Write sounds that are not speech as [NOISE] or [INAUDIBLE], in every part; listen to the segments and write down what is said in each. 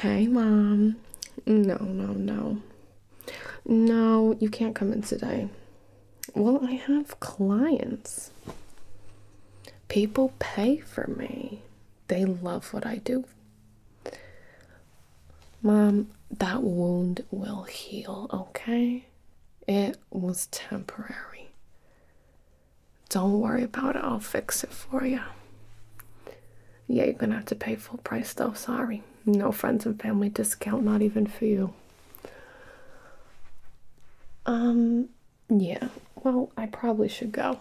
Hey, Mom. No, no, no. No, you can't come in today. Well, I have clients. People pay for me, they love what I do. Mom, that wound will heal, okay? It was temporary. Don't worry about it, I'll fix it for you. Yeah, you're gonna have to pay full price though, sorry. No friends and family discount, not even for you. Um, yeah, well, I probably should go.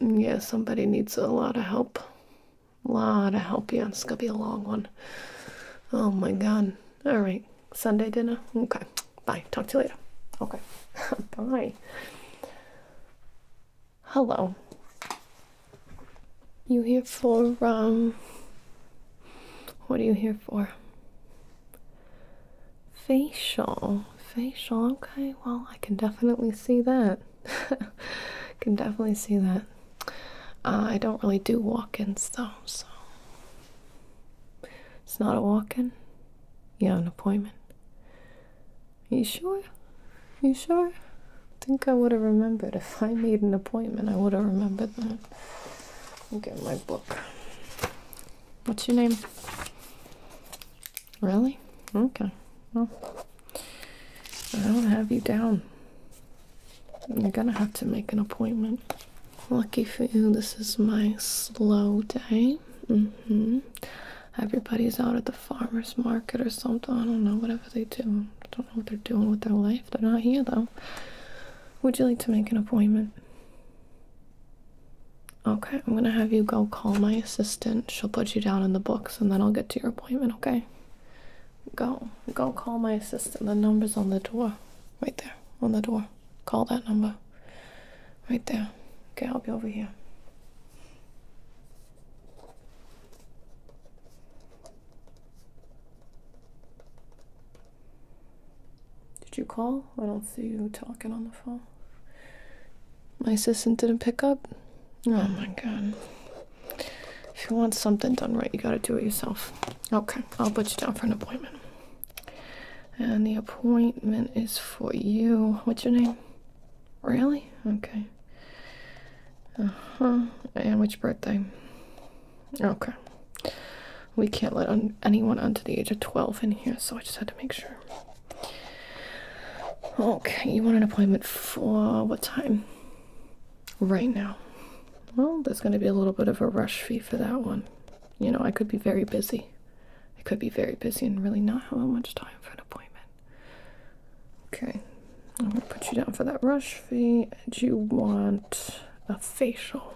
Yeah, somebody needs a lot of help. A lot of help, yeah, it's gonna be a long one. Oh my god. Alright, Sunday dinner? Okay, bye. Talk to you later. Okay, [LAUGHS] bye. Hello. You here for, um, what are you here for? Facial. Facial, okay, well, I can definitely see that. [LAUGHS] can definitely see that. Uh, I don't really do walk ins though, so. It's not a walk in? Yeah, an appointment. You sure? You sure? I think I would have remembered. If I made an appointment, I would have remembered that. I'll get my book. What's your name? Really? Okay. Well, I don't have you down. You're gonna have to make an appointment. Lucky for you, this is my slow day. hmm everybody's out at the farmer's market or something. I don't know, whatever they do. I don't know what they're doing with their life. They're not here though. Would you like to make an appointment? Okay, I'm gonna have you go call my assistant. She'll put you down in the books and then I'll get to your appointment, okay? Go. Go call my assistant. The number's on the door. Right there, on the door. Call that number. Right there. Okay, I'll be over here. Did you call? I don't see you talking on the phone. My assistant didn't pick up? Oh my god. If you want something done right, you gotta do it yourself. Okay, I'll put you down for an appointment. And the appointment is for you. What's your name? Really? Okay. Uh huh. And which birthday? Okay. We can't let un anyone under the age of 12 in here, so I just had to make sure. Okay, you want an appointment for what time? Right now. Well, there's going to be a little bit of a rush fee for that one. You know, I could be very busy. It could be very busy and really not have much time for an appointment. Okay, I'm gonna put you down for that rush fee, and you want a facial.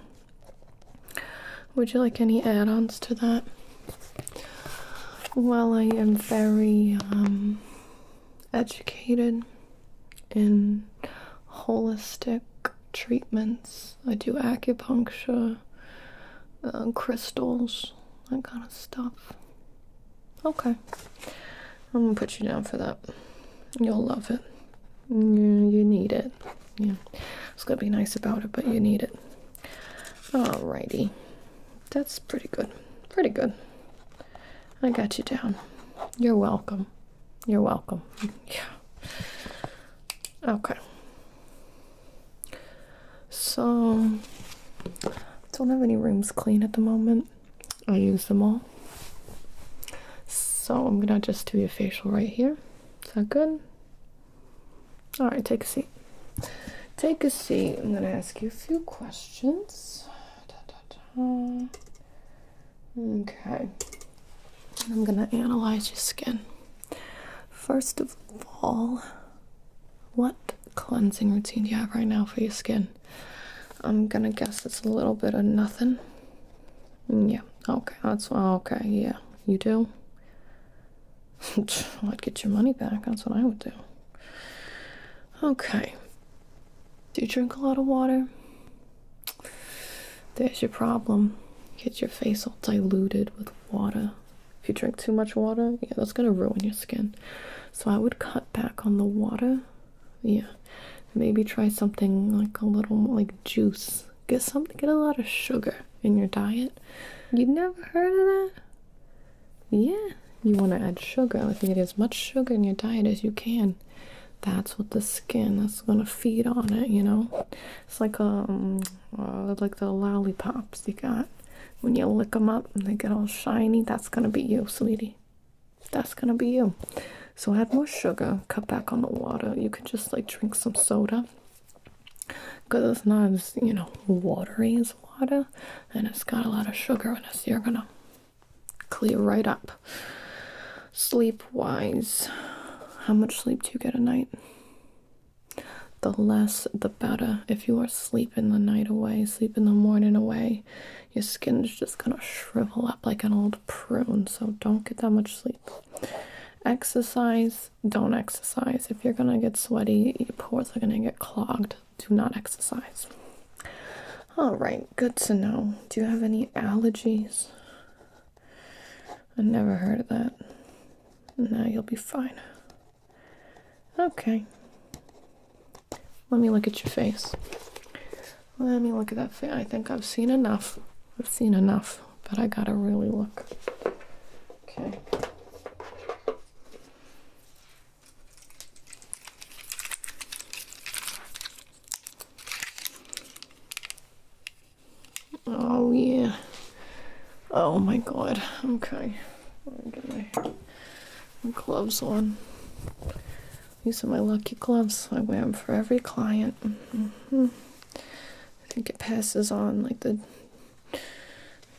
Would you like any add ons to that? Well, I am very um, educated in holistic treatments. I do acupuncture, uh, crystals, that kind of stuff. Okay, I'm gonna put you down for that. You'll love it. You, you need it. Yeah, it's gonna be nice about it, but you need it. Alrighty, that's pretty good. Pretty good. I got you down. You're welcome. You're welcome. [LAUGHS] Yeah. Okay. So, don't have any rooms clean at the moment. I use them all. So, I'm gonna just do a facial right here. Is that good? Alright, take a seat. Take a seat. I'm gonna ask you a few questions. Okay. I'm gonna analyze your skin. First of all, what cleansing routine do you have right now for your skin? I'm gonna guess it's a little bit of nothing. Mm, yeah, okay, that's okay, yeah. You do? [LAUGHS] I'd get your money back, that's what I would do. Okay. Do you drink a lot of water? There's your problem. Get your face all diluted with water. If you drink too much water, yeah, that's gonna ruin your skin. So I would cut back on the water. Yeah, maybe try something like a little like juice. Get something. Get a lot of sugar in your diet. You never heard of that? Yeah, you want to add sugar. I think get as much sugar in your diet as you can. That's what the skin. That's gonna feed on it. You know. It's like um, uh, like the lollipops you got when you lick them up and they get all shiny. That's gonna be you, sweetie. That's gonna be you. So add more sugar. Cut back on the water. You could just like drink some soda, cause it's not as you know watery as water, and it's got a lot of sugar in it. So you're gonna clear right up. Sleep wise, how much sleep do you get a night? the less the better. If you are sleeping the night away, sleep in the morning away, your skin is just gonna shrivel up like an old prune. So don't get that much sleep. Exercise, don't exercise. If you're gonna get sweaty, your pores are gonna get clogged. Do not exercise. All right, good to know. Do you have any allergies? I never heard of that. Now you'll be fine. Okay. Let me look at your face. Let me look at that face. I think I've seen enough. I've seen enough, but I gotta really look. Okay. Oh, yeah. Oh my god. Okay. let me get my, gloves on. These are my lucky gloves. I wear them for every client. Mm-hmm. I think it passes on like the,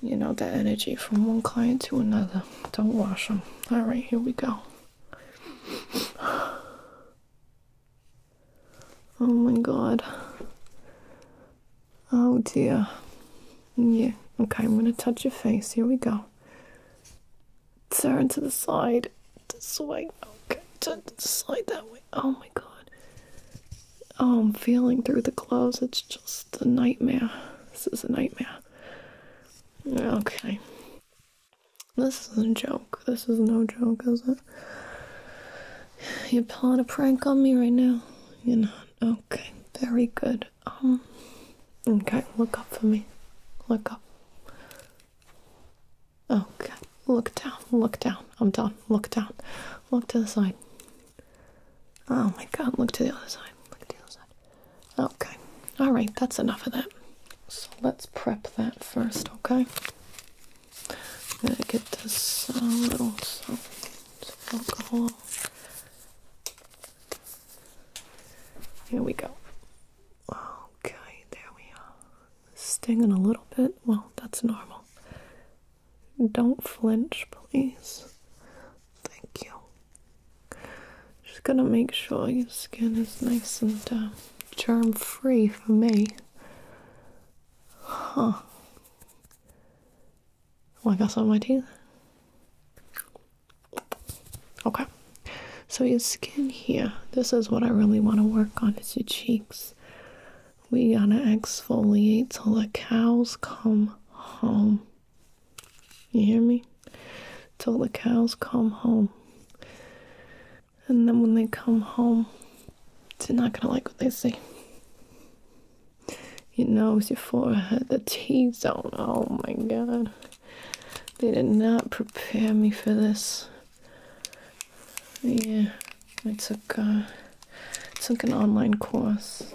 you know, that energy from one client to another. Don't wash them. All right, here we go. Oh my god. Oh dear. Yeah, okay, I'm gonna touch your face. Here we go. Turn to the side. slide. Okay, turn to that way. Oh my god. Oh, I'm feeling through the gloves. It's just a nightmare. This is a nightmare. Okay. This is a joke. This is no joke, is it? You're pulling a prank on me right now. You're not. Okay. Very good. Um. Okay. Look up for me. Look up. Okay. Look down. Look down. I'm done. Look down. Look to the side. Oh my God. Look to the other side. Look to the other side. Okay. All right. That's enough of that. So let's prep that first. Okay. I'm gonna get this uh, little alcohol. Here we go. Okay, there we are. Stinging a little bit. Well, that's normal. Don't flinch, please. Thank you. Just gonna make sure your skin is nice and uh, germ free for me. Huh like oh, I saw my teeth. Okay, so your skin here, this is what I really want to work on is your cheeks. We gotta exfoliate till the cows come home. You hear me? Till the cows come home. And then when they come home, they're not gonna like what they see. Your nose, your forehead, the T zone. Oh my god. They did not prepare me for this. Yeah, I took, uh, took an online course.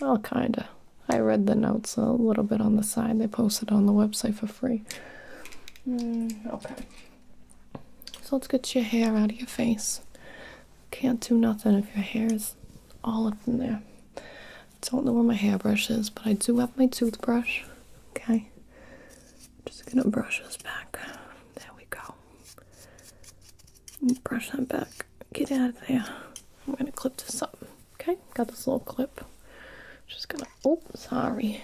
Well, kinda. I read the notes a little bit on the side. They posted on the website for free. Mm, okay. So let's get your hair out of your face. Can't do nothing if your hair is all up in there. Don't know where my hairbrush is, but I do have my toothbrush. Okay. Just gonna brush this back. There we go. Brush that back. Get out of there. I'm gonna clip this up. Okay, got this little clip. Just gonna oh sorry.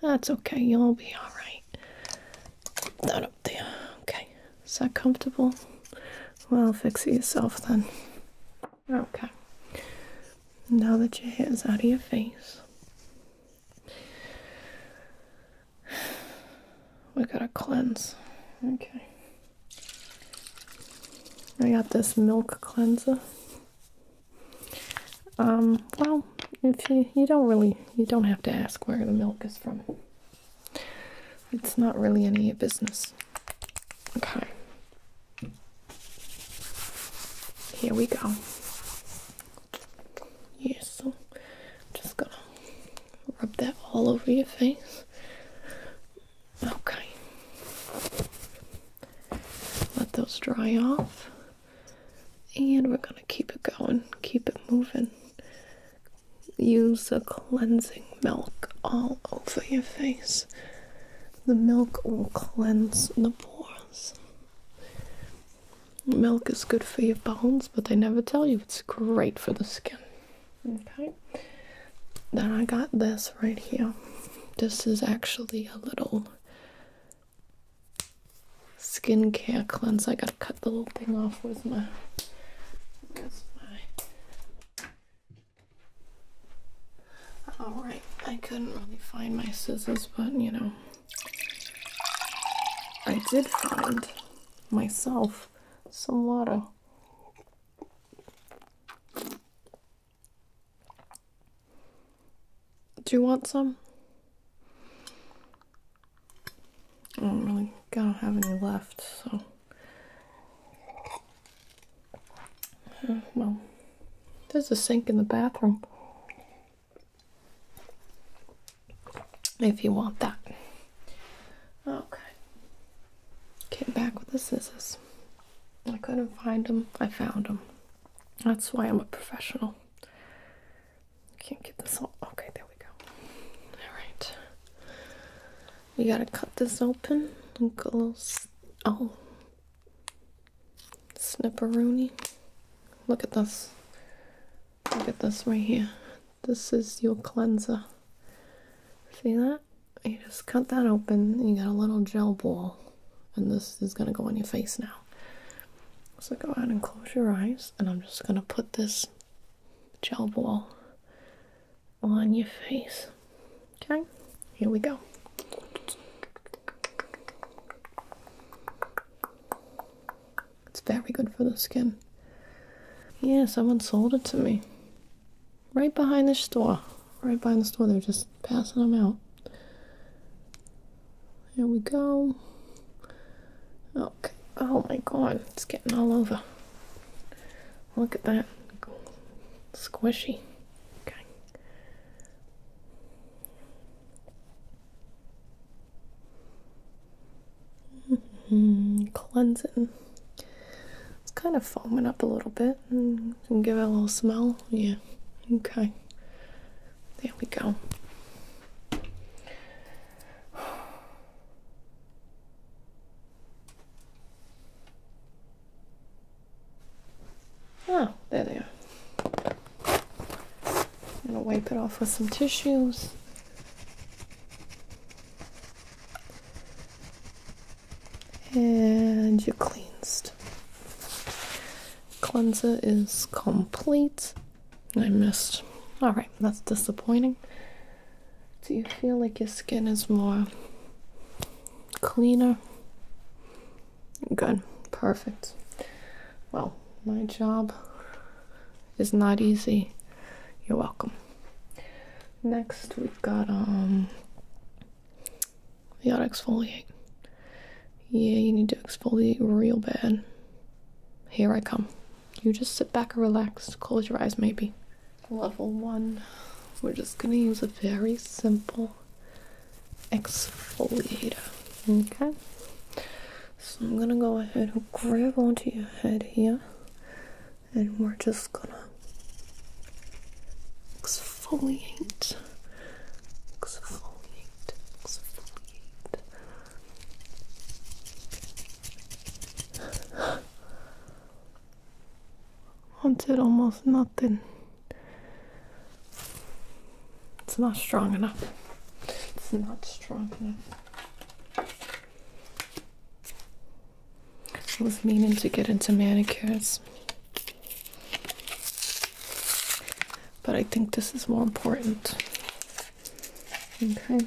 That's okay, you'll be alright. that there. Okay, is that comfortable? Well, fix it yourself then. Okay, now that your hair is out of your face, we gotta cleanse. Okay, I got this milk cleanser. Um, well, if you you don't really you don't have to ask where the milk is from. It's not really any business. Okay. Here we go. Yes, so just gonna rub that all over your face. Okay. Let those dry off. And we're going to keep it going, keep it moving. Use the cleansing milk all over your face. The milk will cleanse the pores. Milk is good for your bones, but they never tell you it's great for the skin. Okay. Then I got this right here. This is actually a little skincare cleanser. I gotta cut the little thing off. with my. Alright, I couldn't really find my scissors, but you know. I did find myself some water. Do you want some? I don't really I don't have any left, so uh, well, there's a sink in the bathroom if you want that. Okay, came back with the scissors. I couldn't find them. I found them. That's why I'm a professional. Can't get this all. Okay, there we go. All right. We gotta cut this open and go a little. Oh. Snipperoni. Look at this. Look at this right here. This is your cleanser. See that? You just cut that open you got a little gel ball. And this is gonna go on your face now. So go ahead and close your eyes, and I'm just gonna put this gel ball on your face. Okay, here we go. It's very good for the skin. Yeah, someone sold it to me. Right behind the store. Right behind the store, they're just passing them out. There we go. Okay. Oh my god, it's getting all over. Look at that. Squishy. Okay. Mm-hmm. Cleansing. It's kind of foaming up a little bit mm, and give it a little smell. Yeah. Okay. There we go. Oh, [SIGHS] there they are. I'm gonna wipe it off with some tissues. And you're cleansed. Cleanser is complete. I missed. All right, that's disappointing. Do you feel like your skin is more cleaner? Good, perfect. Well, my job is not easy. You're welcome. Next, we've got um you gotta exfoliate. Yeah, you need to exfoliate real bad. Here I come. You just sit back and relax. Close your eyes, maybe. Level one. We're just gonna use a very simple exfoliator. Okay. So I'm gonna go ahead and grab onto your head here, and we're just gonna exfoliate, exfoliate, exfoliate. Wanted almost nothing. It's not strong enough. It's not strong enough. I was meaning to get into manicures. But I think this is more important. Okay.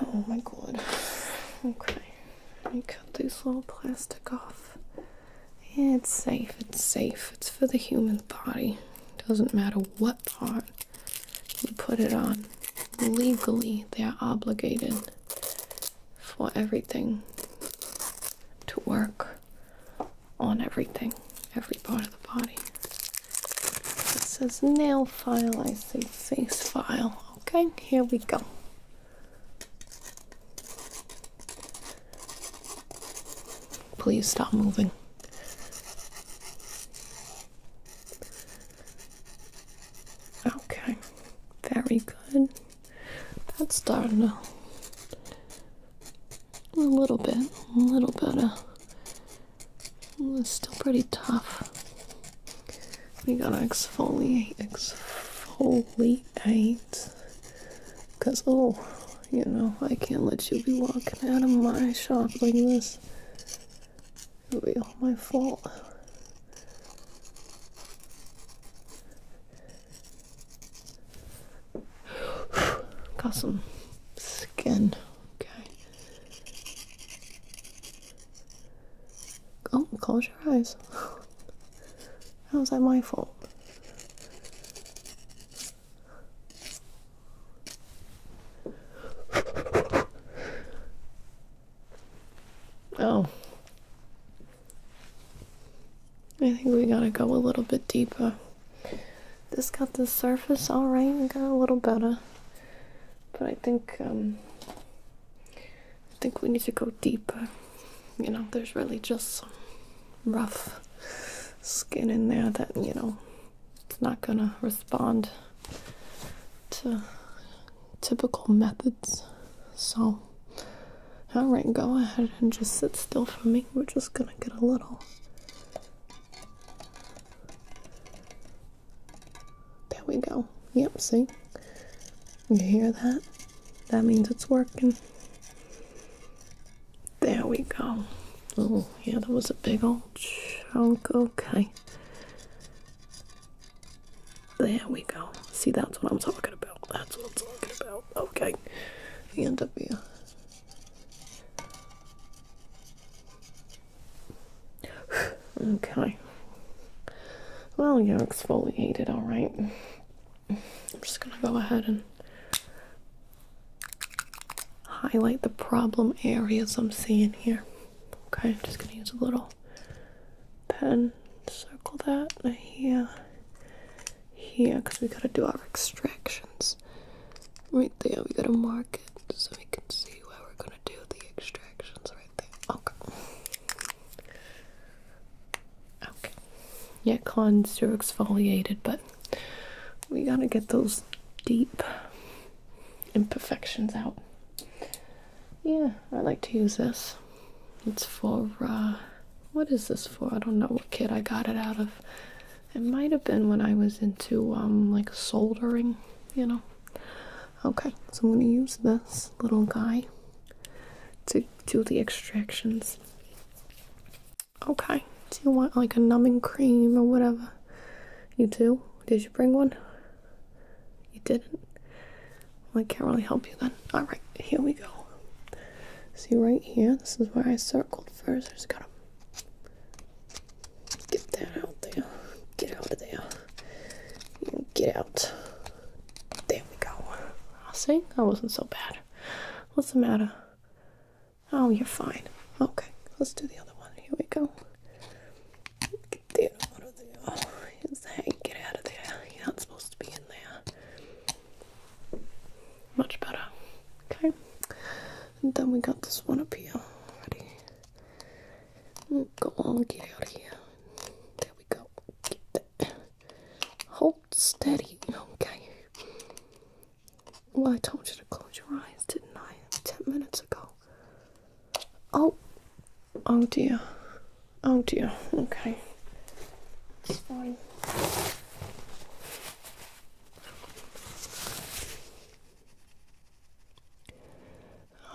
Oh my god. Okay. Let me cut this little plastic off. it's safe, it's safe. It's for the human body. Doesn't matter what part you put it on. Legally, they are obligated for everything to work on everything, every part of the body. It says nail file, I say face file. Okay, here we go. Please stop moving. Okay, very good. That's done to a little bit, a little bit. it's still pretty tough. We gotta exfoliate, exfoliate. Cause oh, you know, I can't let you be walking out of my shop like this. It'll be all my fault. Got some skin. Okay. Oh, close your eyes. How is that my fault? Oh. I think we gotta go a little bit deeper. This got the surface alright, and got a little better. But I think, um, I think we need to go deeper. You know, there's really just some rough skin in there that, you know, it's not gonna respond to typical methods. So, alright, go ahead and just sit still for me. We're just gonna get a little. There we go. Yep, see? You hear that? That means it's working. There we go. Oh, yeah, that was a big old chunk. Okay. There we go. See, that's what I'm talking about. That's what I'm talking about. Okay. The end up here. okay. Well, you're exfoliated, alright. I'm just gonna go ahead and highlight the problem areas I'm seeing here. Okay, I'm just gonna use a little pen, circle that here, here, because we gotta do our extractions. Right there, we gotta mark it so we can see where we're gonna do the extractions right there. Okay. Okay. Yeah, cons are exfoliated, but we gotta get those deep imperfections out. Yeah, I like to use this. It's for, uh, what is this for? I don't know what kit I got it out of. It might have been when I was into, um, like soldering, you know. Okay, so I'm going to use this little guy to do the extractions. Okay, do you want like a numbing cream or whatever? You do? Did you bring one? You didn't? I can't really help you then. Alright, here we go. See right here? This is where I circled first. I just gotta get that out there. Get out of there. Get out. There we go. i ah, see, that wasn't so bad. What's the matter? Oh, you're fine. Okay, let's do the other one. Here we go. Get out of there. Get out of there. You're not supposed to be in there. Much better. Okay. And then we got this one up here. Ready? Go on, get out of here. There we go. Hold steady. Okay. Well, I told you to close your eyes, didn't I? Ten minutes ago. Oh, oh dear, oh dear. Okay, it's fine.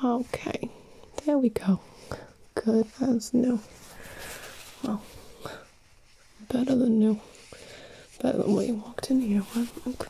Okay, there we go. Good as new. Well, better than new. Better than what you walked in here with.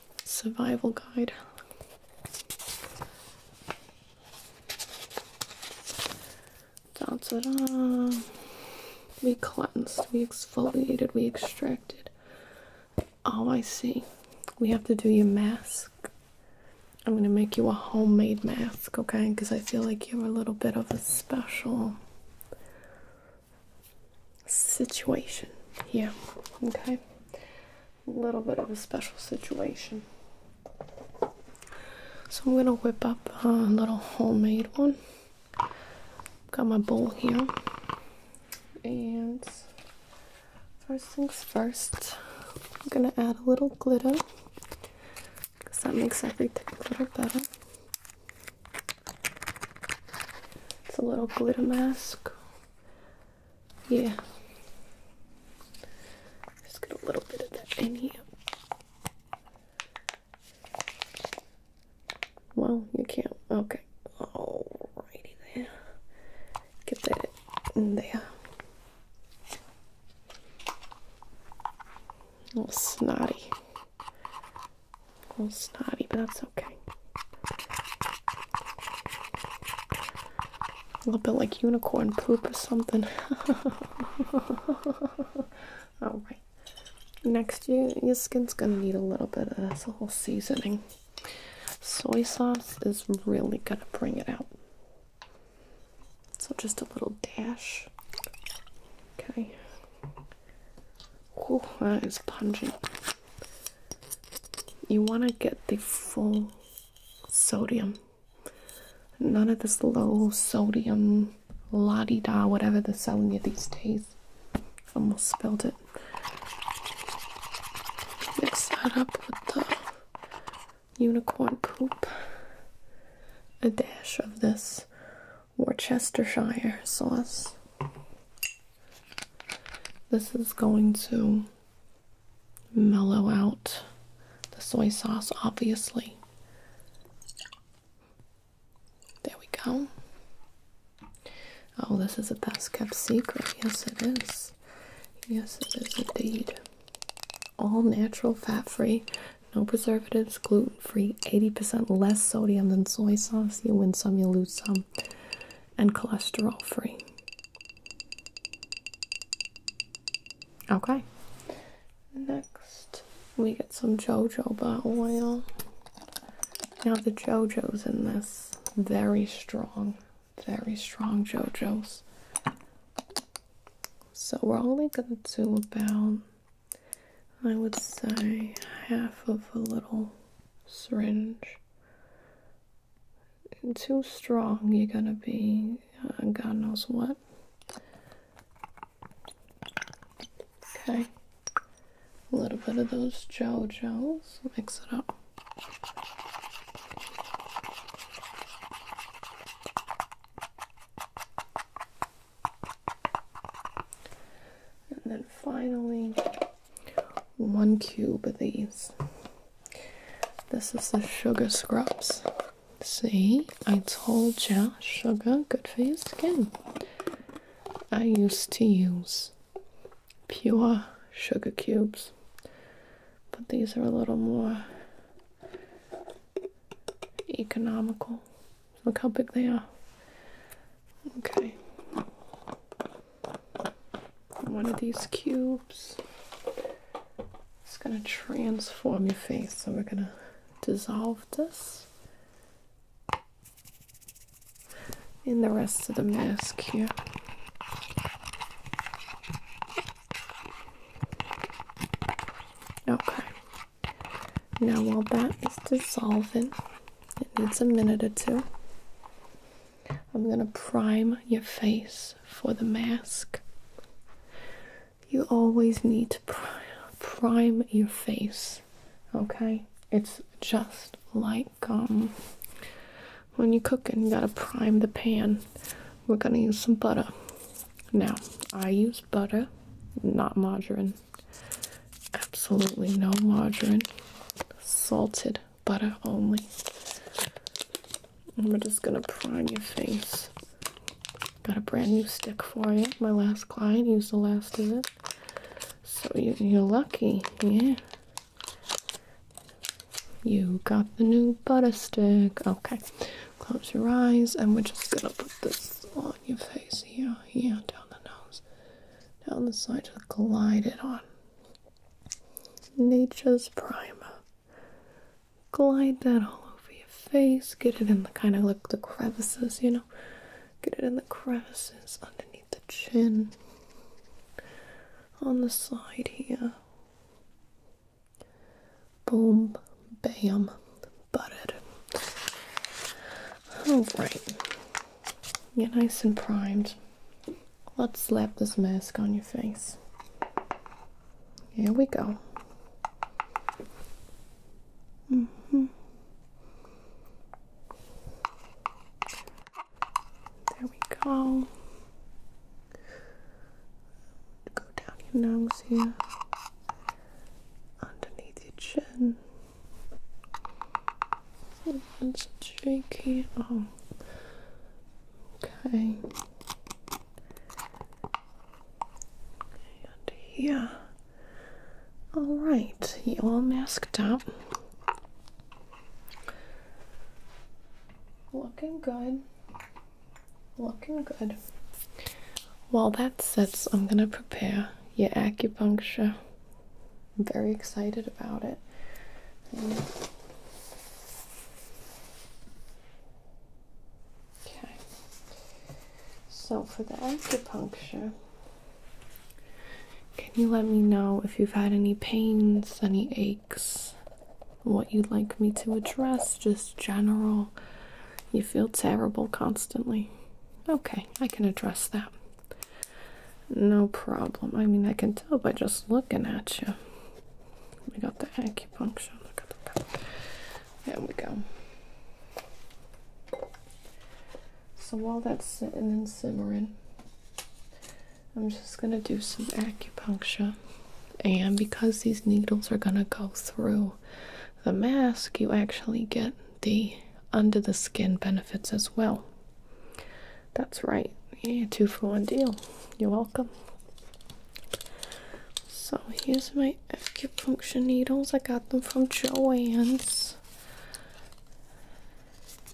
survival guide. Da -da -da. We cleansed, we exfoliated, we extracted. Oh, I see. We have to do your mask. I'm gonna make you a homemade mask, okay? Because I feel like you're a little bit of a special situation yeah, okay? A little bit of a special situation. So I'm gonna whip up a little homemade one. Got my bowl here. And first things first, I'm gonna add a little glitter because that makes everything a little better. It's a little glitter mask. Yeah. Just get a little bit of that in here. Well, you can't. Okay. Alrighty then. Get that in there. snotty. A little snotty, but that's okay. A little bit like unicorn poop or something. [LAUGHS] Alright. Next, you, your skin's gonna need a little bit of this whole seasoning. Soy sauce is really gonna bring it out. So just a little dash. Okay. Oh, that is pungent you want to get the full sodium none of this low sodium la da whatever they're selling you these days almost spilled it mix that up with the unicorn poop a dash of this worcestershire sauce this is going to mellow out the soy sauce, obviously. There we go. Oh, this is a best kept secret. Yes, it is. Yes, it is indeed. All natural, fat free, no preservatives, gluten free, 80% less sodium than soy sauce. You win some, you lose some and cholesterol free. Okay. Next, we get some jojoba oil. Now, the jojos in this, very strong, very strong jojos. So, we're only going to do about, I would say, half of a little syringe. too strong, you're gonna be uh, God knows what. Okay, a little bit of those gel JoJo's, mix it up. And then finally, one cube of these. This is the sugar scrubs. See, I told ya, sugar good for your skin. I used to use pure sugar cubes, but these are a little more economical. Look how big they are. Okay one of these cubes. It's going to transform your face. So we're going to dissolve this in the rest of the mask here. Okay. Now while that is dissolving, it needs a minute or two. I'm gonna prime your face for the mask. You always need to prime your face, okay? It's just like um, when you're cooking, you gotta prime the pan. We're gonna use some butter. Now, I use butter, not margarine. Absolutely no margarine, salted butter only. We're just gonna prime your face. Got a brand new stick for you. My last client used the last of it. So you, you're lucky, yeah. You got the new butter stick. Okay, close your eyes, and we're just gonna put this on your face here, here, down the nose, down the side, just glide it on. Nature's Primer. Glide that all over your face. Get it in the kind of like the crevices, you know. Get it in the crevices underneath the chin. On the side here. Boom, bam, butted. Alright you nice and primed. Let's slap this mask on your face. Here we go. Mm-hmm. There we go. Go down your nose here, underneath your chin. It's tricky. Oh, okay. And here. All right, you all masked up. Looking good. Looking good. While that sets, I'm gonna prepare your acupuncture I'm very excited about it. okay, so for the acupuncture, can you let me know if you've had any pains, any aches, what you'd like me to address, just general? You feel terrible constantly. Okay, I can address that. No problem. I mean, I can tell by just looking at you. We got the acupuncture. there we go. So while that's sitting and simmering, I'm just gonna do some acupuncture. And because these needles are gonna go through the mask, you actually get the under the skin benefits as well. That's right. Yeah, two for one deal. You're welcome. So here's my acupuncture needles. I got them from Joann's.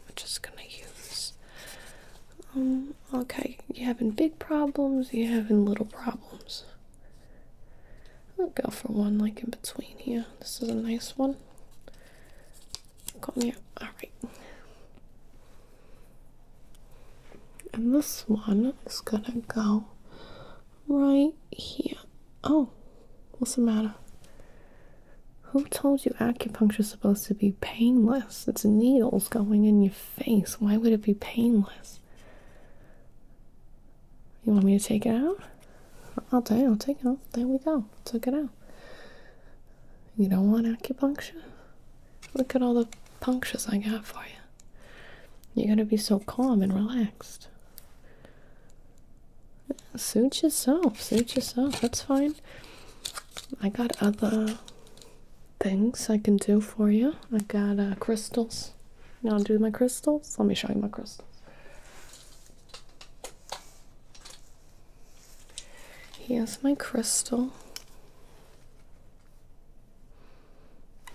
I'm just gonna use. Um, okay, you having big problems? You having little problems? I'll go for one like in between here. This is a nice one down. Call me Alright. And this one is gonna go right here. Oh, what's the matter? Who told you acupuncture is supposed to be painless? It's needles going in your face. Why would it be painless? You want me to take it out? I'll tell I'll take it out. There we go. Took it out. You don't want acupuncture? Look at all the punctures I got for you. You gotta be so calm and relaxed. Suit yourself, suit yourself, that's fine. I got other things I can do for you. I got uh, crystals. i know, do my crystals? Let me show you my crystals. Here's my crystal.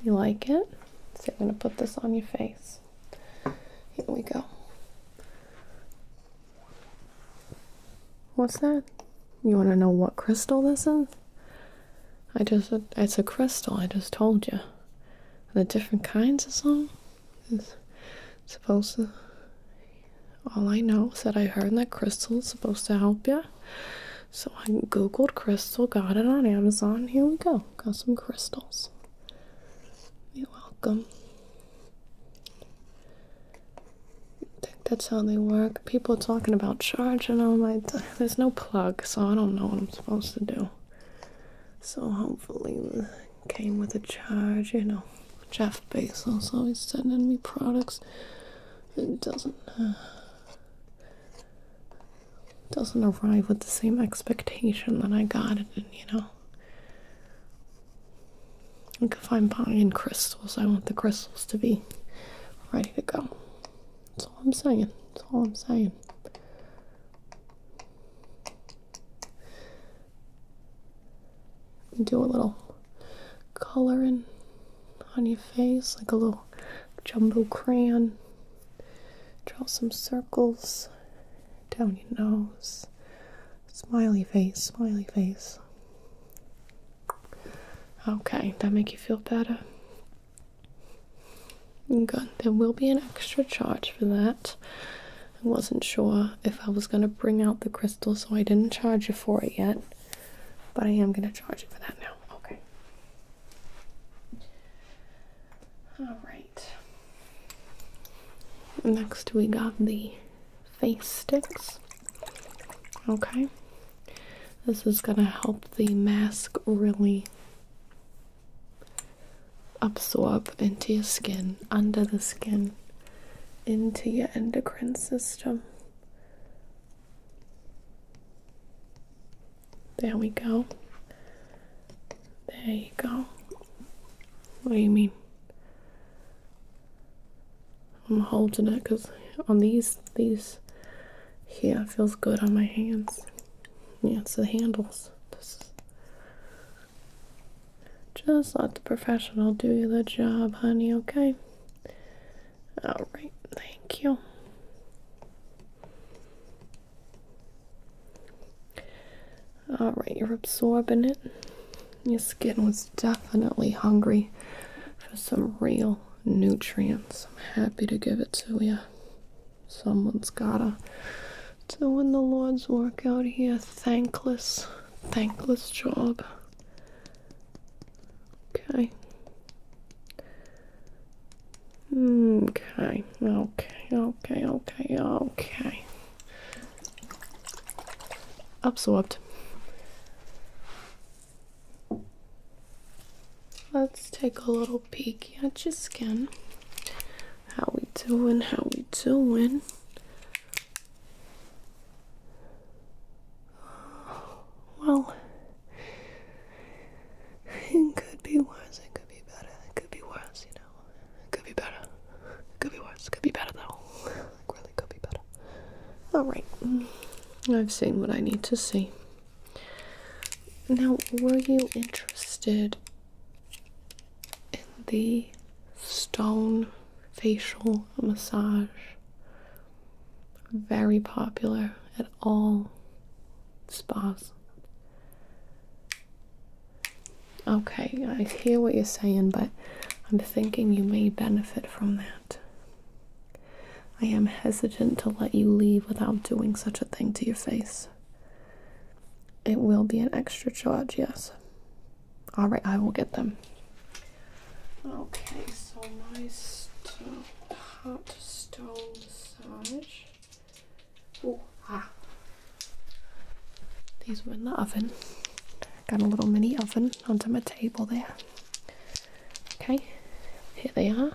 You like it? So I'm going to put this on your face. Here we go. What's that? You want to know what crystal this is? I just, it's a crystal, I just told you. The different kinds of some? is supposed to all I know is that I heard that crystal is supposed to help you. So I googled crystal, got it on Amazon. Here we go. Got some crystals. You're welcome. think that's how they work. People are talking about charging all my. there's no plug, so I don't know what I'm supposed to do. So hopefully came with a charge, you know. Jeff Bezos always sending me products. It doesn't uh, doesn't arrive with the same expectation that I got it in, you know. Like if I'm buying crystals, I want the crystals to be ready to go. That's all I'm saying. That's all I'm saying. Do a little coloring on your face, like a little jumbo crayon. Draw some circles down your nose. Smiley face, smiley face. Okay, that make you feel better? Good. There will be an extra charge for that. I wasn't sure if I was going to bring out the crystal, so I didn't charge you for it yet. But I am going to charge you for that now. Okay. All right. Next, we got the face sticks. Okay. This is going to help the mask really absorb into your skin, under the skin, into your endocrine system. There we go. There you go. What do you mean? I'm holding it because on these, these here feels good on my hands. Yeah, it's the handles. just let the professional do the job, honey, okay? All right, thank you. All right, you're absorbing it. Your skin was definitely hungry for some real nutrients. I'm happy to give it to you. Someone's gotta doing the Lord's work out here. Thankless, thankless job. Okay. Okay, okay, okay, okay, okay. Absorbed. Let's take a little little at your skin. How we doing? How we doing? Well, it could be worse. It could be better. It could be worse. You know, it could be better. It could be worse. It could be better though. Like really, could be better. All right. I've seen what I need to see. Now, were you interested in the stone facial massage. Very popular at all spas. Okay, I hear what you're saying, but I'm thinking you may benefit from that. I am hesitant to let you leave without doing such a thing to your face. It will be an extra charge, yes. Alright, I will get them. Okay, so nice stone, hot stone massage. Oh, ah. These were in the oven. Got a little mini oven onto my table there. Okay, here they are.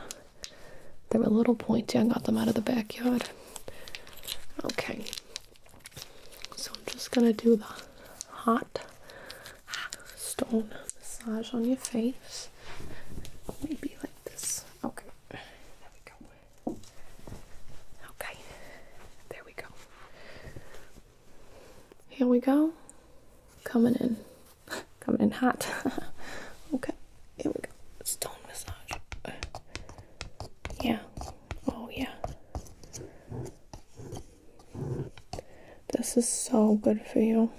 They were a little pointy. I got them out of the backyard. Okay, so I'm just gonna do the hot stone massage on your face. Maybe like this. Okay, there we go. Okay, there we go. Here we go. Coming in, [LAUGHS] coming in hot. [LAUGHS] okay. Here we go. Stone massage. yeah. Oh, yeah. This is so good for you.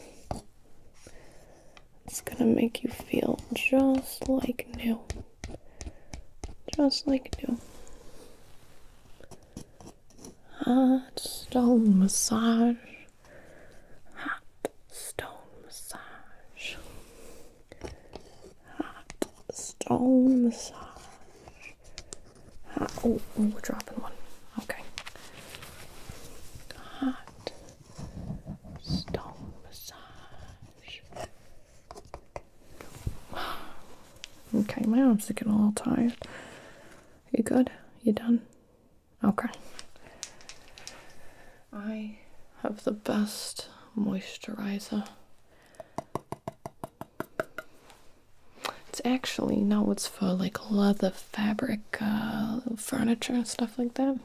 It's gonna make you feel just like new. Just like new. Hot stone massage. Hot stone massage. Hot stone massage. oh, oh, we're dropping one. Okay. Hot stone massage. Okay, my arms are getting a little tired. You good? You done? Okay. I have the best moisturizer. It's actually now it's for like leather fabric uh, furniture and stuff like that.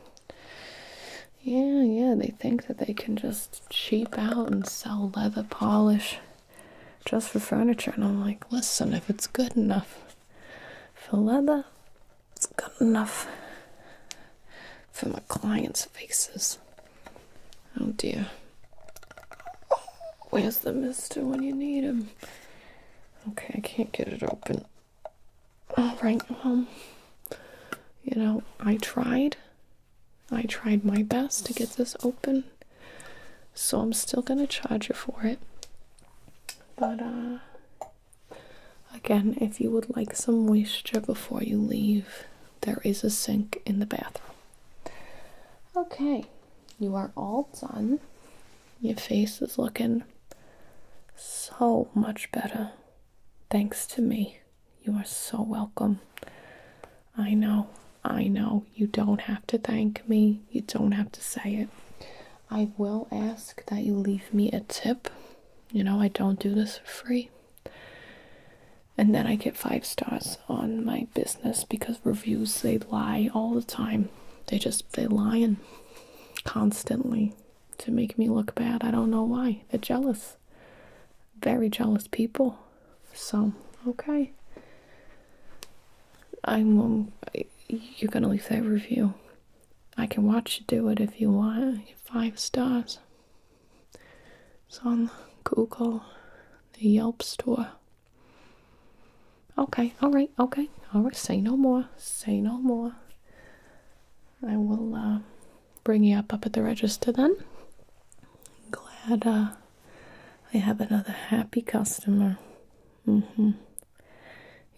Yeah, yeah, they think that they can just cheap out and sell leather polish just for furniture. And I'm like, listen, if it's good enough for leather, it's got enough for my clients' faces. Oh dear. Where's the mister when you need him? Okay, I can't get it open. Alright, um, you know, I tried. I tried my best to get this open. So I'm still gonna charge you for it. But, uh, Again, if you would like some moisture before you leave, there is a sink in the bathroom. Okay, you are all done. Your face is looking so much better. Thanks to me. You are so welcome. I know, I know. You don't have to thank me, you don't have to say it. I will ask that you leave me a tip you know, I don't do this for free. And then I get five stars on my business because reviews they lie all the time. They just they lying constantly to make me look bad. I don't know why. They're jealous. Very jealous people. So, okay. I'm um, you're gonna leave that review. I can watch you do it if you want. Five stars. It's on Google, the Yelp store. Okay, all right, okay, all right. Say no more. Say no more. I will uh, bring you up up at the register then. Glad uh, I have another happy customer. Mm-hmm.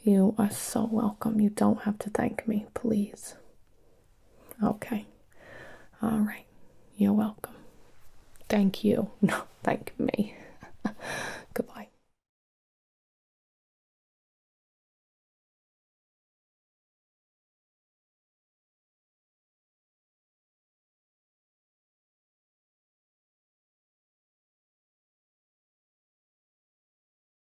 You are so welcome. You don't have to thank me, please. Okay. All right. You're welcome. Thank you. [LAUGHS] No, thank me. [LAUGHS] Goodbye.